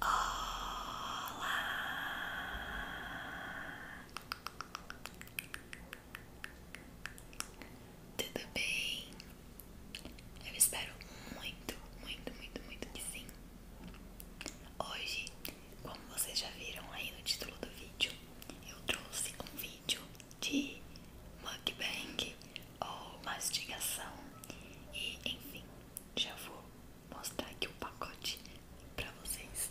Olá! Tudo bem? Eu espero muito, muito, muito, muito que sim. Hoje, como vocês já viram aí no título do vídeo, eu trouxe um vídeo de mukbang ou mastigação e enfim, já vou mostrar aqui o pacote pra vocês.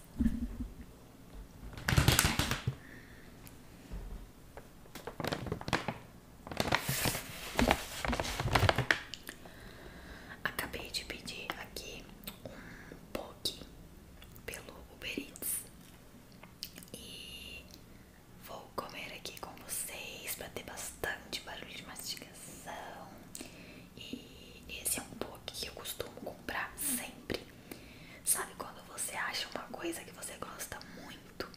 Acabei de pedir aqui um poke pelo Uber Eats e vou comer aqui com vocês para ter bastante barulho de mastigação. E esse é um book que eu costumo comprar sempre. Sabe quando você acha uma coisa que você gosta muito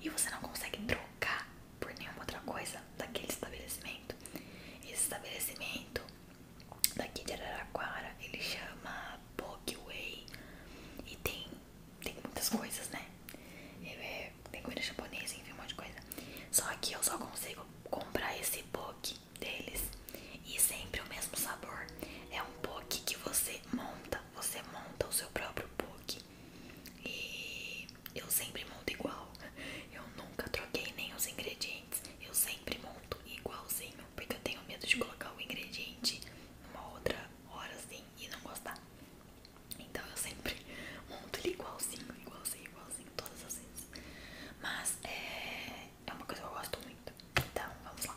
e você não consegue trocar por nenhuma outra coisa daquele estabelecimento? Esse estabelecimento daqui de Araraquara ele chama Bookway e tem, tem muitas coisas, né? É, tem comida japonesa, enfim, um monte de coisa. Só que eu só consigo comprar esse poke deles. E sempre o mesmo sabor. É um poke que você monta. Você monta o seu próprio poke. E eu sempre monto igual. Eu nunca troquei nem os ingredientes. Eu sempre monto igualzinho. Porque eu tenho medo de colocar o ingrediente numa outra hora assim e não gostar. Então eu sempre monto ele igualzinho, igualzinho, igualzinho, todas as vezes. Mas é, é uma coisa que eu gosto muito. Então vamos lá.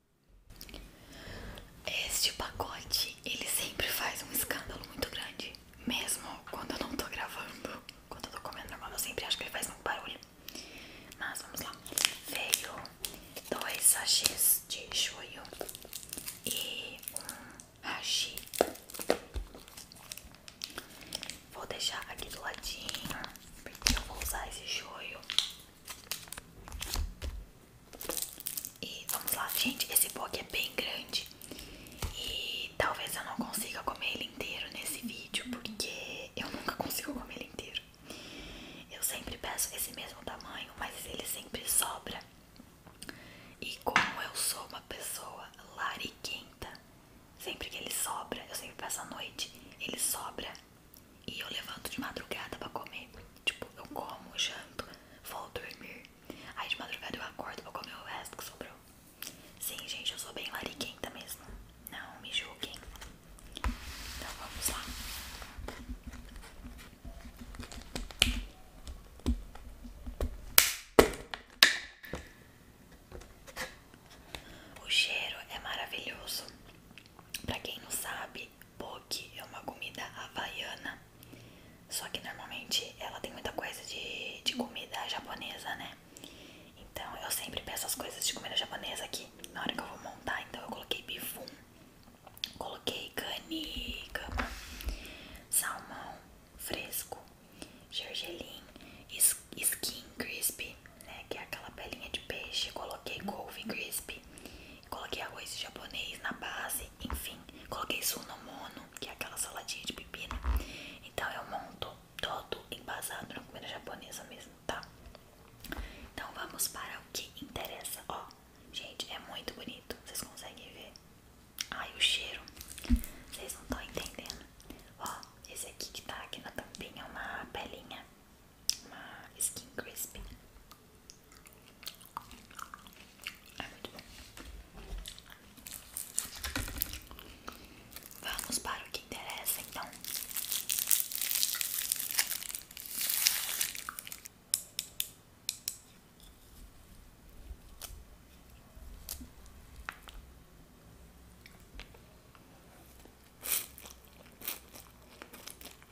Este pacote, ele sempre faz um escândalo muito grande, mesmo quando eu não tô gravando, quando eu tô comendo normal, eu sempre acho que ele faz um barulho. Mas vamos lá. Veio dois sachês de shoyu e um hashi. Vou deixar aqui do ladinho, porque eu vou usar esse shoyu e vamos lá, gente, esse poke é bem grande e talvez eu não consiga comer ele inteiro nesse vídeo, porque eu nunca consigo comer ele inteiro. Eu sempre peço esse mesmo tamanho, mas ele sempre sobra. E como eu sou uma pessoa lariquenta, sempre que ele sobra, eu sempre peço à noite, ele sobra e eu levanto de madrugada pra comer. Tipo, eu como, janto, vou dormir. Aí de madrugada eu acordo pra comer o resto que sobrou. Sim, gente, eu sou bem lariquenta mesmo. Não me julguem. Então vamos lá. O cheiro é maravilhoso. Pra quem não sabe, poke é uma comida havaiana, só que normalmente ela tem muita coisa de, de comida japonesa, né? Então eu sempre peço as coisas de comida japonesa aqui na hora que eu vou montar. Então eu coloquei bifum, coloquei cani, salmão fresco, gergelim, skin crispy, né, que é aquela pelinha de peixe. Coloquei couve crispy, coloquei arroz japonês na base, enfim. Coloquei sunomono, que é aquela saladinha de pepino. Então eu monto todo embasado na comida japonesa mesmo, tá? Então vamos para o que interessa. Ó, gente, é muito bonito. Vocês conseguem ver? Ai, o cheiro. Vocês não estão entendendo. Ó, esse aqui que tá aqui na tampinha é uma pelinha uma ah, skin crispy. É muito bom. Vamos para o que interessa então.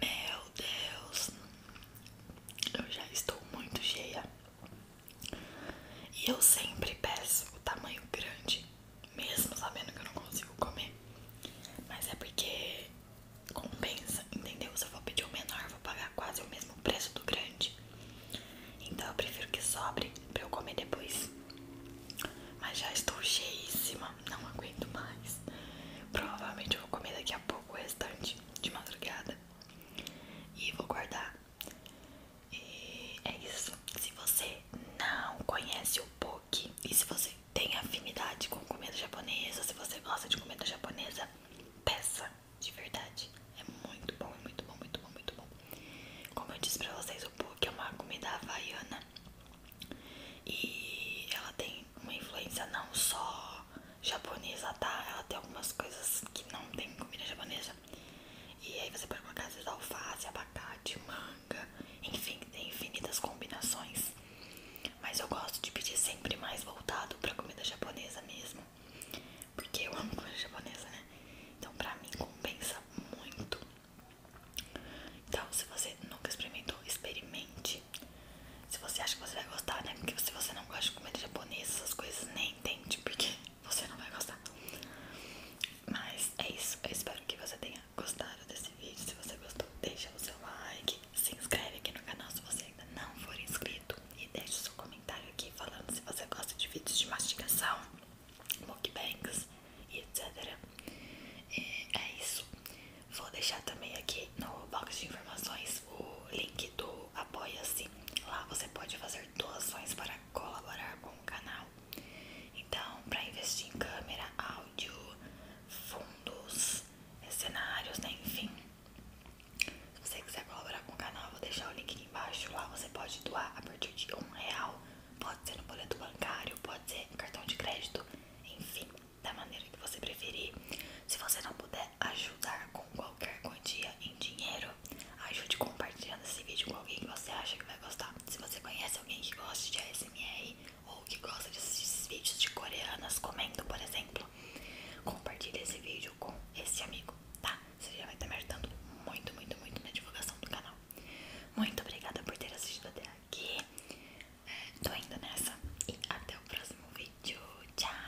Meu Deus, eu já estou muito cheia. E eu sempre peço o tamanho grande mesmo sabendo que eu não consigo comer. Mas é porque compensa, entendeu? Se eu vou pedir o menor, vou pagar quase o mesmo preço do grande. Então eu prefiro que sobre pra eu comer depois. Mas já estou cheíssima, não aguento mais. Provavelmente eu vou comer daqui a pouco o restante de madrugada. E vou guardar. E é isso. Se você não conhece o povo, e se você tem afinidade com comida japonesa, se você gosta de comida japonesa, peça, de verdade. É muito bom, é muito bom, muito bom, muito bom. Como eu disse pra vocês, o book é uma comida havaiana. E ela tem uma influência não só japonesa, tá? Ela tem algumas coisas que não tem comida japonesa. E aí você pode colocar às vezes alface, abacate, manga enfim, tem infinitas combinações. Mas eu gosto de pedir sempre mais voltado pra comida japonesa mesmo. Porque eu amo comida japonesa, né? Então pra mim compensa muito. Então se você nunca experimentou, experimente. Se você acha que você vai gostar, né? Porque se você não gosta de comida japonesa, essas coisas nem entende, porque você não vai gostar. Mas é isso. Eu espero que você tenha gostaram desse vídeo. Se você gostou, deixa o seu like, se inscreve aqui no canal se você ainda não for inscrito e deixa o seu comentário aqui falando se você gosta de vídeos de mastigação, mukbangs e etc. é isso. Vou deixar também aqui no box de informações o link do Apoia-se. Lá você pode fazer doações para colaborar com o canal então, para investir em câmera, áudio, fundos, cenários, né, enfim. Se você quiser colaborar com o canal, vou deixar o link aqui embaixo. Lá você pode doar a partir de um real. Pode ser no boleto bancário, pode ser em cartão de crédito, enfim, da maneira que você preferir. Se você não puder ajudar com qualquer quantia em dinheiro, ajude compartilhando esse vídeo com alguém que você acha que vai gostar. Se você conhece alguém que gosta de ASMR, ou que gosta desses vídeos de coreanas comendo, por exemplo, compartilhe esse vídeo com esse amigo, tá? Você já vai estar tá me ajudando muito, muito, muito na divulgação do canal. Muito obrigada por ter assistido até aqui. É, tô indo nessa e até o próximo vídeo. Tchau!